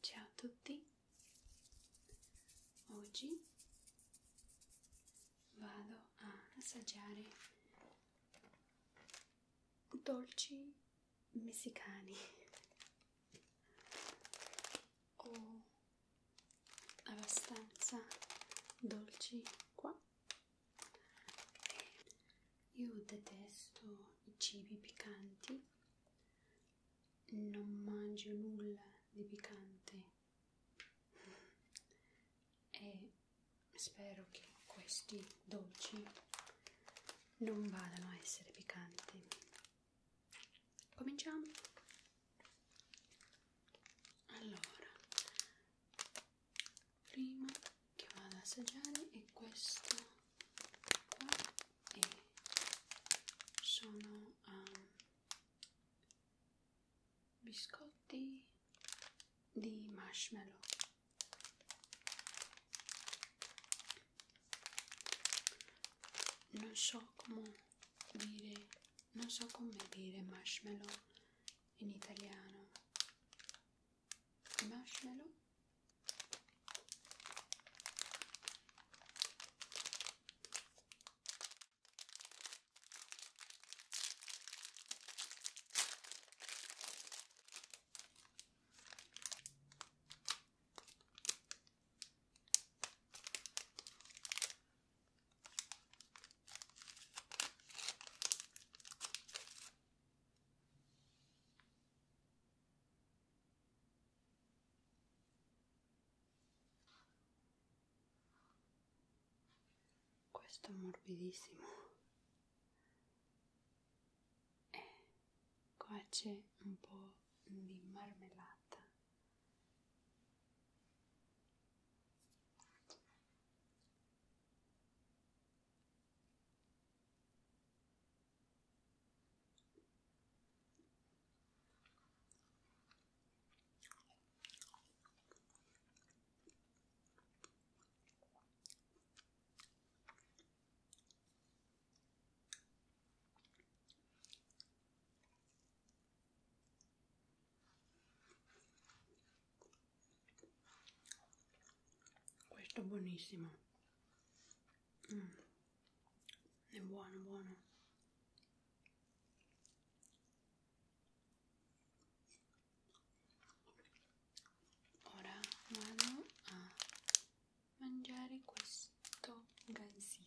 Ciao a tutti, oggi vado a assaggiare dolci messicani o abbastanza dolci qua io detesto i cibi piccanti non mangio nulla di piccante e spero che questi dolci non vadano a essere piccanti. Cominciamo. Allora, prima che vado ad assaggiare è questo qua e sono um, biscotti di marshmallow non so come dire non so come dire marshmallow in italiano marshmallow questo è morbidissimo e eh, qua c'è un po' di marmellata questo è buonissimo mm. è buono buono ora vado a mangiare questo gansito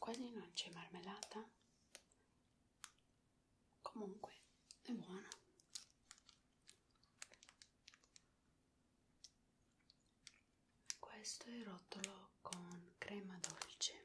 quasi non c'è marmellata comunque è buona questo è il rotolo con crema dolce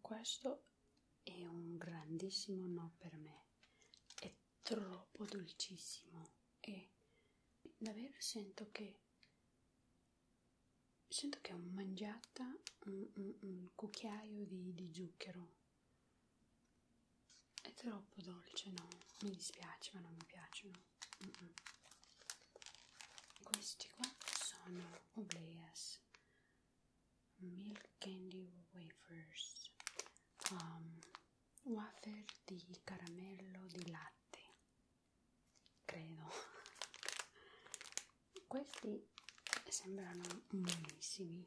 Questo è un grandissimo no per me, è troppo dolcissimo e davvero sento che sento che ho mangiato un, un, un cucchiaio di, di zucchero è troppo dolce, no? Mi dispiace, ma non mi piacciono. Mm -mm. Questi qua sono Obleas Milk Candy Wafers, um, wafer di caramello di latte, credo. Questi sembrano buonissimi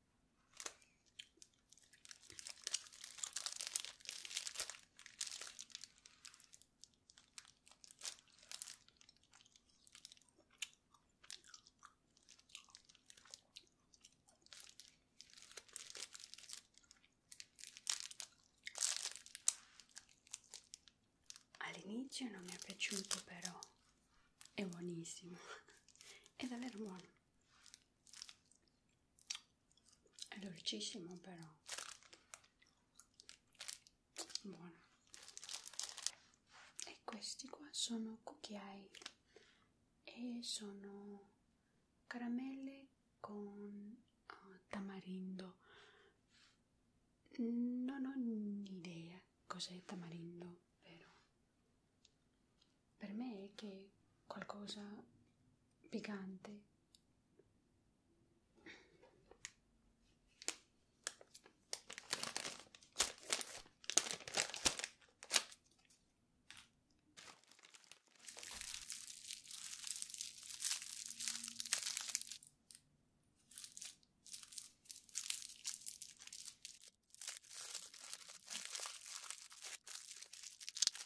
All'inizio non mi è piaciuto però è buonissimo, è davvero buono. È dolcissimo però. Buono. E questi qua sono cucchiai e sono caramelle con uh, tamarindo. Non ho idea cos'è tamarindo, però per me è che qualcosa piccante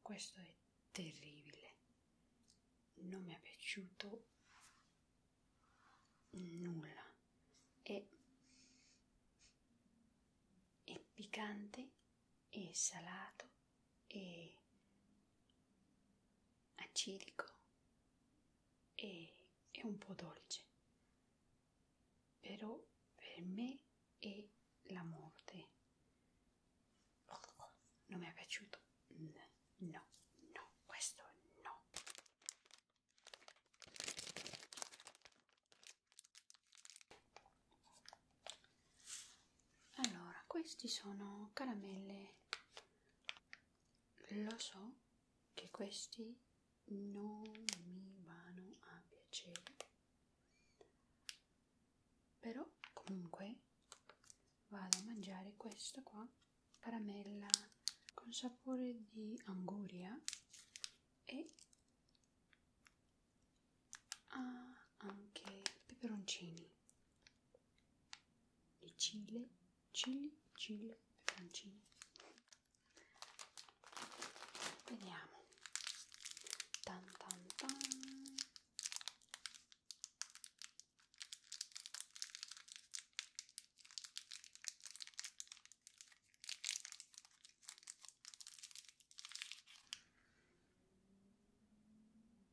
Questo è terribile, non mi è piaciuto nulla. È, è piccante, è salato e acidico e, e un po' dolce, però per me è la morte. Non mi è piaciuto? No, no, questo no allora questi sono caramelle lo so che questi non mi vanno a piacere però comunque vado a mangiare questa qua caramella con sapore di anguria e ha ah, anche peperoncini e cile, cili, cile, peperoncini vediamo tan tan tan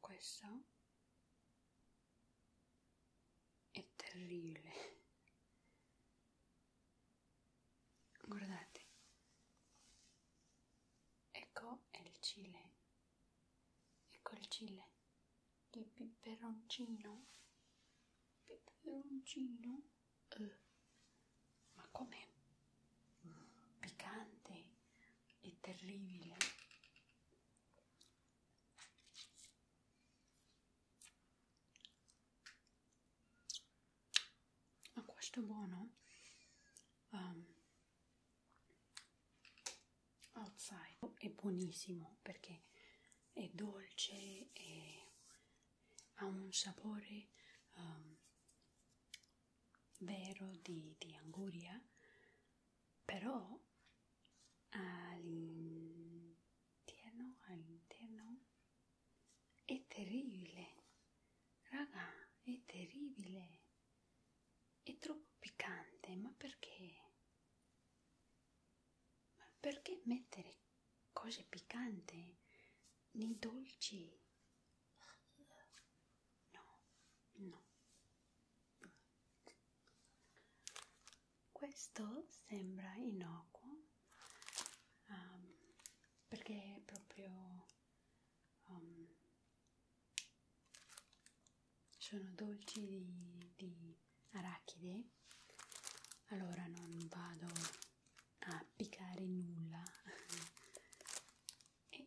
Questo è terribile. Guardate, ecco il Cile, ecco il Cile, il peperoncino, peperoncino eh, ma com'è piccante e terribile ma questo è buono um, outside è buonissimo perché è dolce e ha un sapore um, vero di, di anguria, però all'interno, all'interno è terribile, raga, è terribile, è troppo piccante, ma perché? Ma perché mettere cose piccanti nei dolci? No, no. Questo sembra innocuo um, perché è proprio um, sono dolci di, di arachide allora non vado applicare nulla e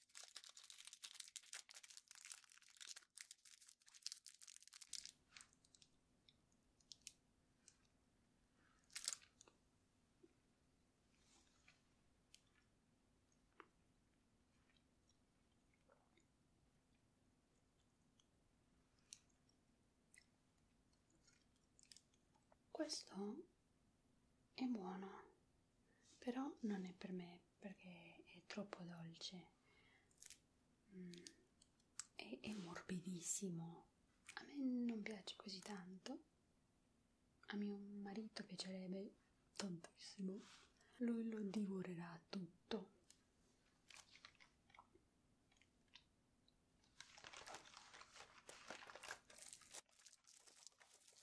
Questo è buono, però non è per me perché è troppo dolce mm, è, è morbidissimo a me non piace così tanto a mio marito piacerebbe tantissimo lui lo divorerà tutto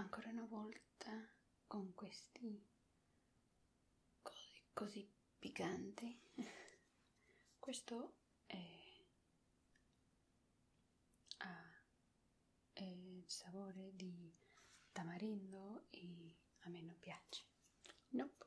Ancora una volta con questi così, così picanti. Questo è ha eh, il sapore di tamarindo e a me non piace. Nope.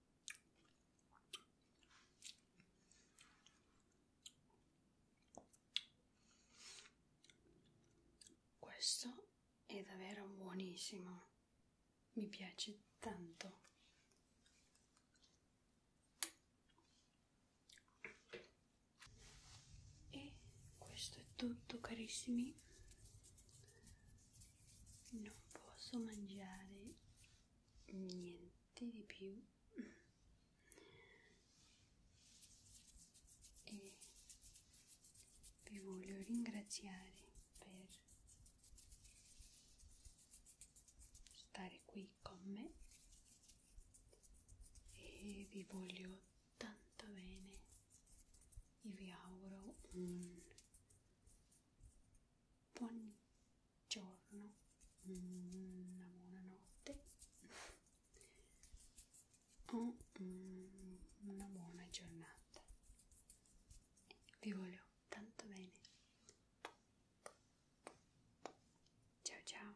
Questo è davvero buonissimo, mi piace tanto. E questo è tutto carissimi. Non posso mangiare niente notte di più e vi voglio ringraziare per stare qui con me e vi voglio tanto bene e vi auguro un buon giorno, una buonanotte o mm, una buona giornata. Vi voglio tanto bene. Ciao ciao.